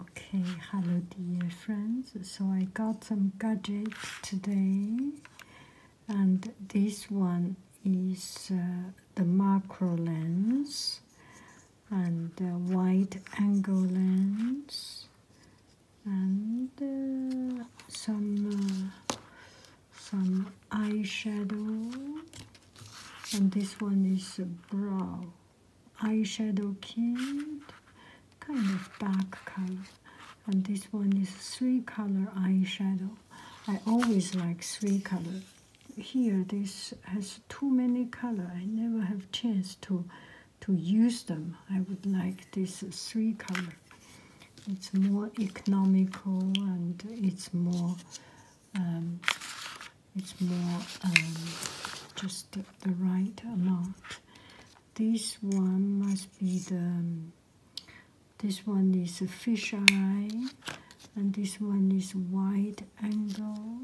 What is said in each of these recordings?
Okay, hello dear friends. So I got some gadgets today, and this one is uh, the macro lens and the wide angle lens, and uh, some uh, some eyeshadow, and this one is a brow eyeshadow kit kind of dark color and this one is three color eyeshadow i always like three color here this has too many color i never have chance to to use them i would like this three color it's more economical and it's more um, it's more um, just the, the right amount. This one must be the. Um, this one is a fish eye, and this one is wide angle.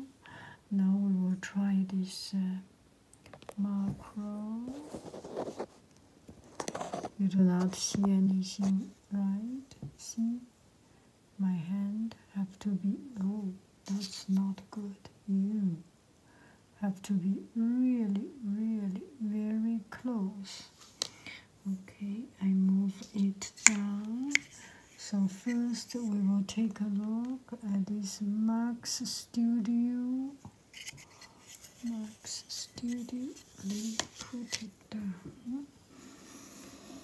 Now we will try this uh, macro. You do not see anything, right? See, my hand have to be oh that's not good. You have to be really really very close. Okay, I move it down. So first we will take a look at this Max Studio. Max Studio, let me put it down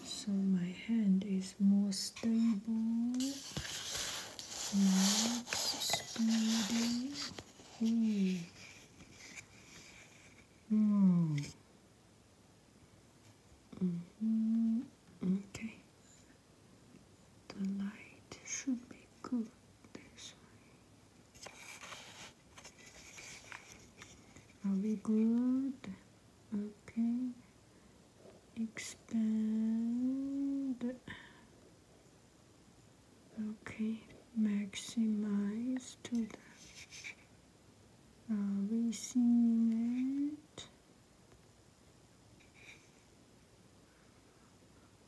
so my hand is more stable, not hmm. -hmm. Okay, the light should be good this way. Are we good? okay expand okay maximize to the uh, receiving end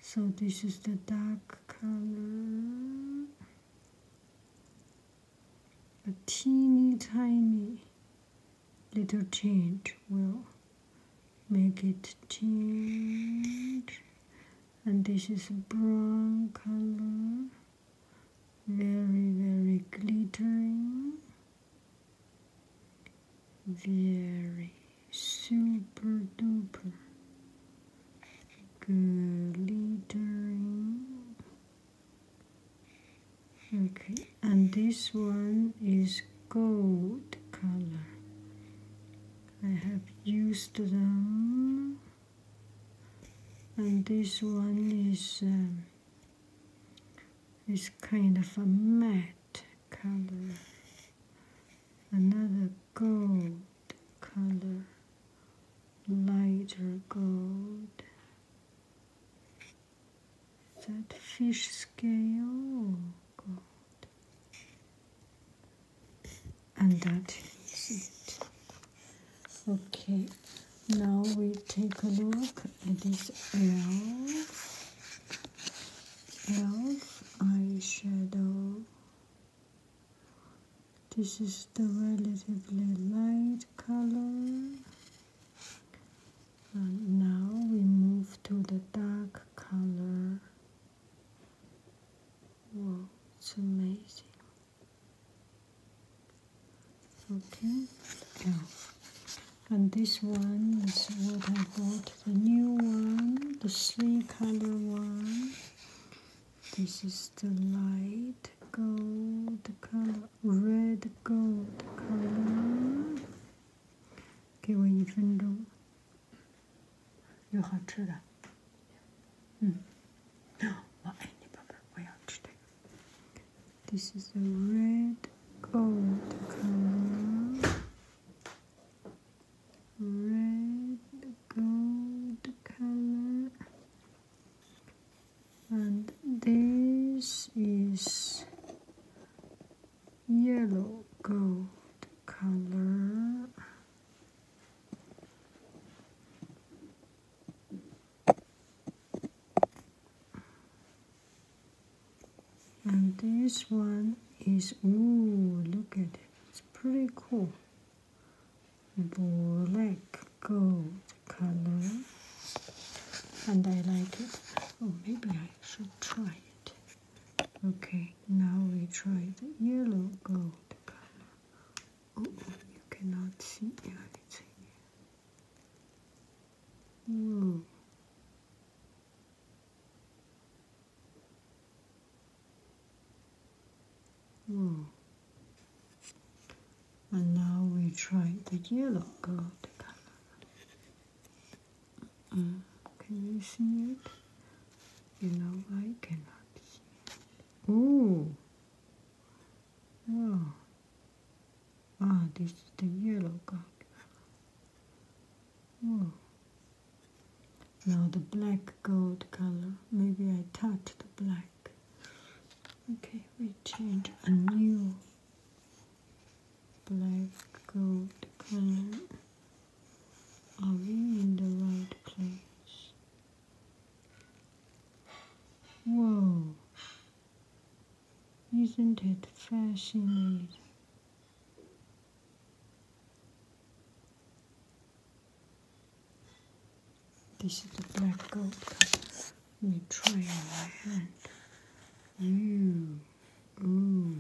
so this is the dark color a teeny tiny little change will make it change and this is brown color very very glittering very super duper glittering okay and this one is gold color I have used them and this one is um, is kind of a matte color another gold color lighter gold that fish scale? Oh and that is it. Okay, now we take a look at this elf, elf eyeshadow this is the relatively light color. And now we move to the dark color. Wow, it's amazing. Okay, yeah. And this one is what I bought, the new one, the sleek color one. This is the light gold color, red gold color. color。给我一分钟。有好吃的。嗯，我爱你，宝贝，我要吃这个。This hmm. is the red gold color. Red gold color and this is yellow gold color and this one is ooh look at it it's pretty cool black gold color and I like it. Oh, maybe I should try it. Okay, now we try the yellow gold color. Oh, you cannot see anything. Whoa. Hmm. And now we try the yellow gold color. Mm, can you see it? You know I cannot see it. Ooh. Oh. Ah, this is the yellow gold. Ooh. Now the black gold color. Maybe I touch the black. Okay, we change a new black gold color. Are we in the right place? Whoa! Isn't it fascinating? This is the black gold color. Let me try on my hand. You, ooh.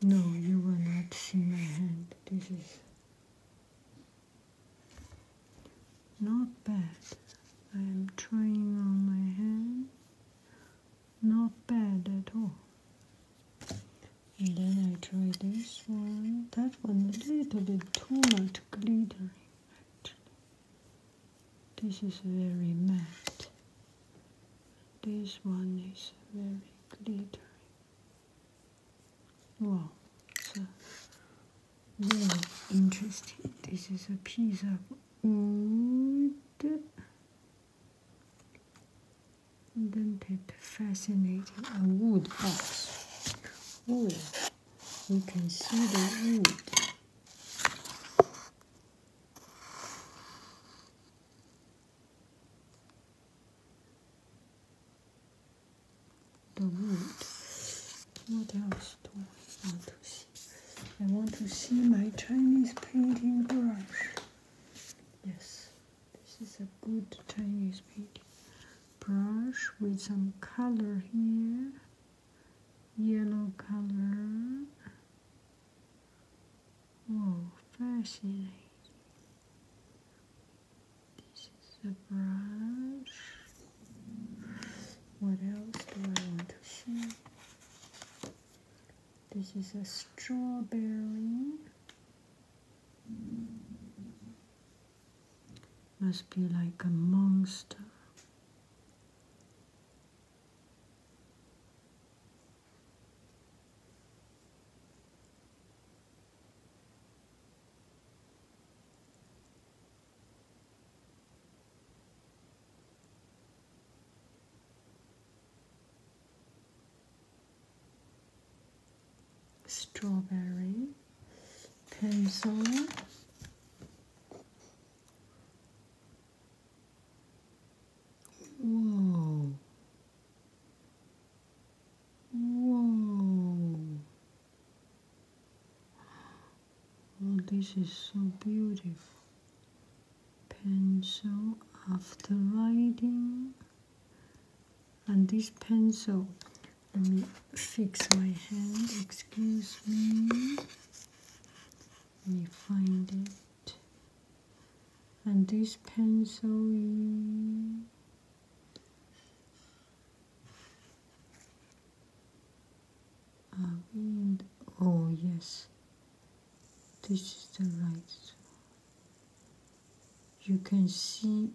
No, you will not see my hand. This is not bad. I am trying on my hand. Not bad at all. And then I try this one one a little bit too much glittering This is very matte. This one is very glittering. Wow, so very interesting. This is a piece of wood. Then take fascinating a wood box. Oh, you can see the wood. The wood. What else do I want to see? I want to see my Chinese painting brush. Yes, this is a good Chinese paint brush with some color here, yellow color. Wow, fascinating. This is a brush. What else do I want to see? This is a strawberry. Must be like a monster strawberry, pencil, whoa, whoa, oh this is so beautiful, pencil after writing and this pencil let me fix my hand excuse me let me find it and this pencil is oh yes this is the right one you can see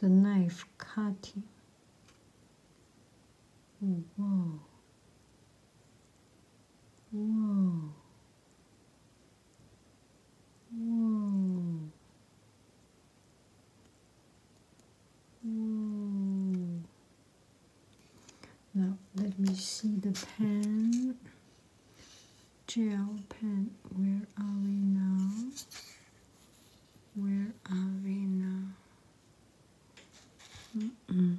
the knife cutting. whoa. Whoa. Whoa. Whoa. Now let me see the pen gel pen. Where are we now? Where are we now? Mm -mm.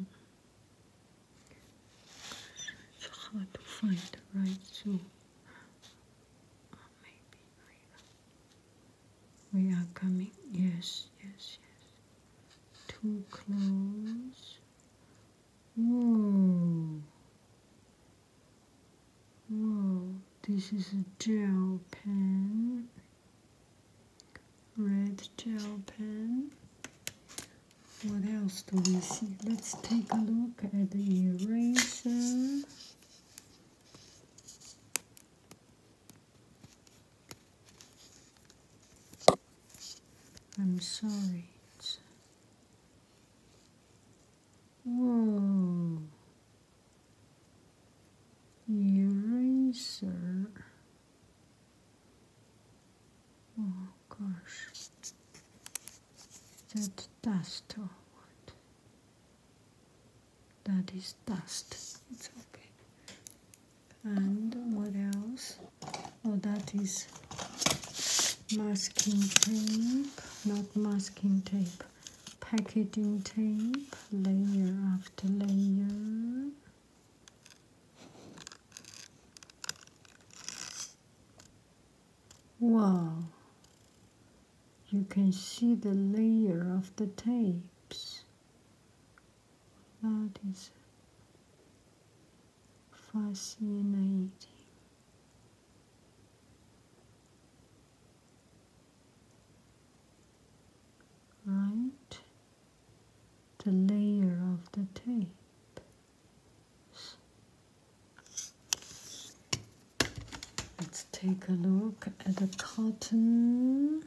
It's hard to find the right tool. Or oh, maybe we are. we are coming. Yes, yes, yes. Too close. Whoa. Whoa, this is a gel pen, red gel pen. What else do we see? Let's take a look at the eraser. I'm sorry, Whoa. Hmm. Eraser. Oh gosh. That dust oh, That is dust. It's okay. And what else? oh that is masking tape not masking tape packaging tape layer after layer Wow, you can see the layer of the tapes. That is fascinating right the layer of the tape let's take a look at the cotton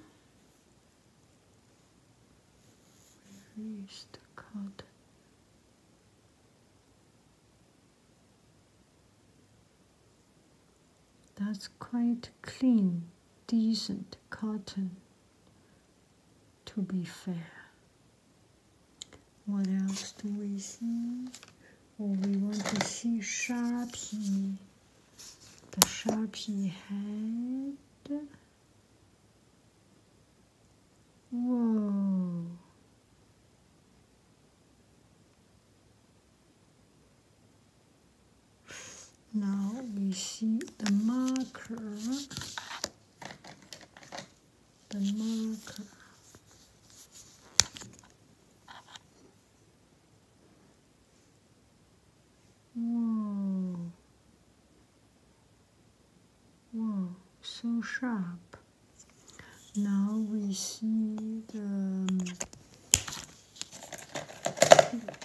where is the cotton that's quite clean, decent cotton, to be fair. What else do we see? Oh, we want to see Sharpie, the Sharpie head. Now we see the marker, the marker. Whoa. Wow, so sharp. Now we see the,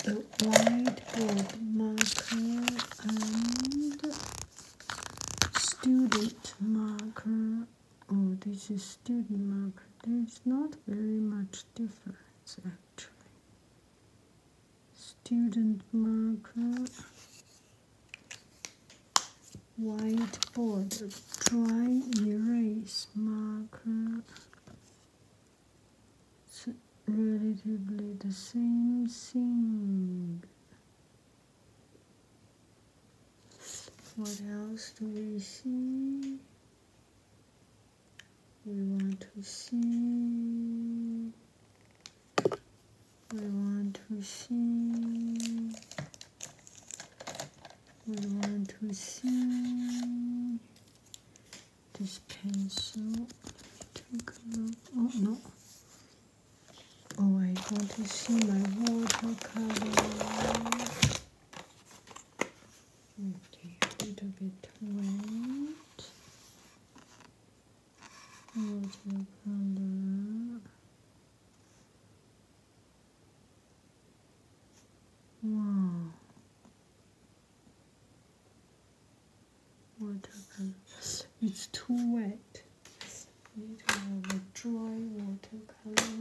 white um, whiteboard marker and student marker. Oh, this is student marker. There's not very much difference actually. Student marker whiteboard dry erase marker it's relatively the same thing what else do we see we want to see we want to see we want to see this pencil oh no oh I want to see my watercolor okay a little bit wet water wow watercolor it's too wet need a dry watercolor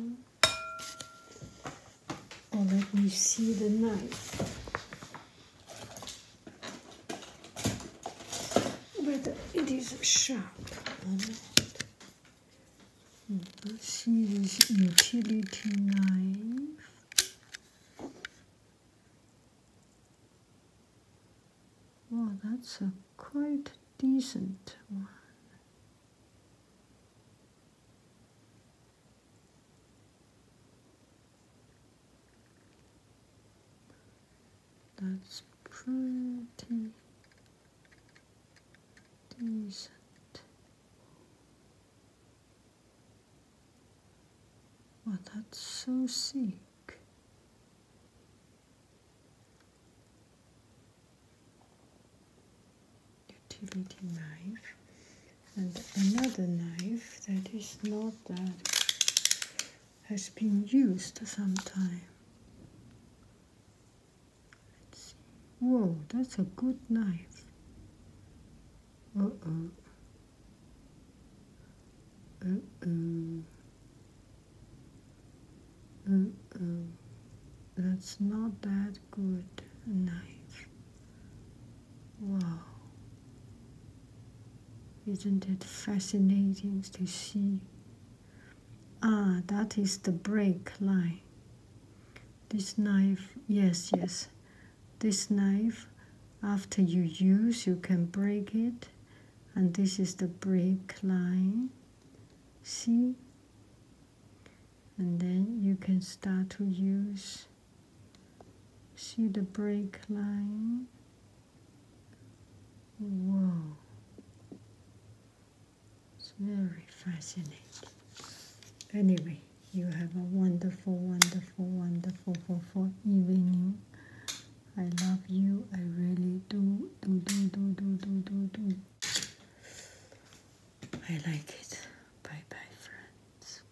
oh let me see the knife but it is sharp. Hmm. Let's See this utility knife. Wow, that's a quite decent one. That's pretty decent. Well, that's so sick. Utility knife and another knife that is not that has been used sometime. let Whoa, that's a good knife. Uh-oh. Uh-oh. Uh-oh. That's not that good knife. Wow. Isn't it fascinating to see? Ah, that is the break line. This knife, yes, yes. This knife, after you use, you can break it. And this is the break line. See? And then you can start to use See the break line? Wow. It's very fascinating. Anyway, you have a wonderful, wonderful, wonderful, wonderful evening. I love you. I really do, do, do, do, do, do, do, do. I like it. Bye bye, friends.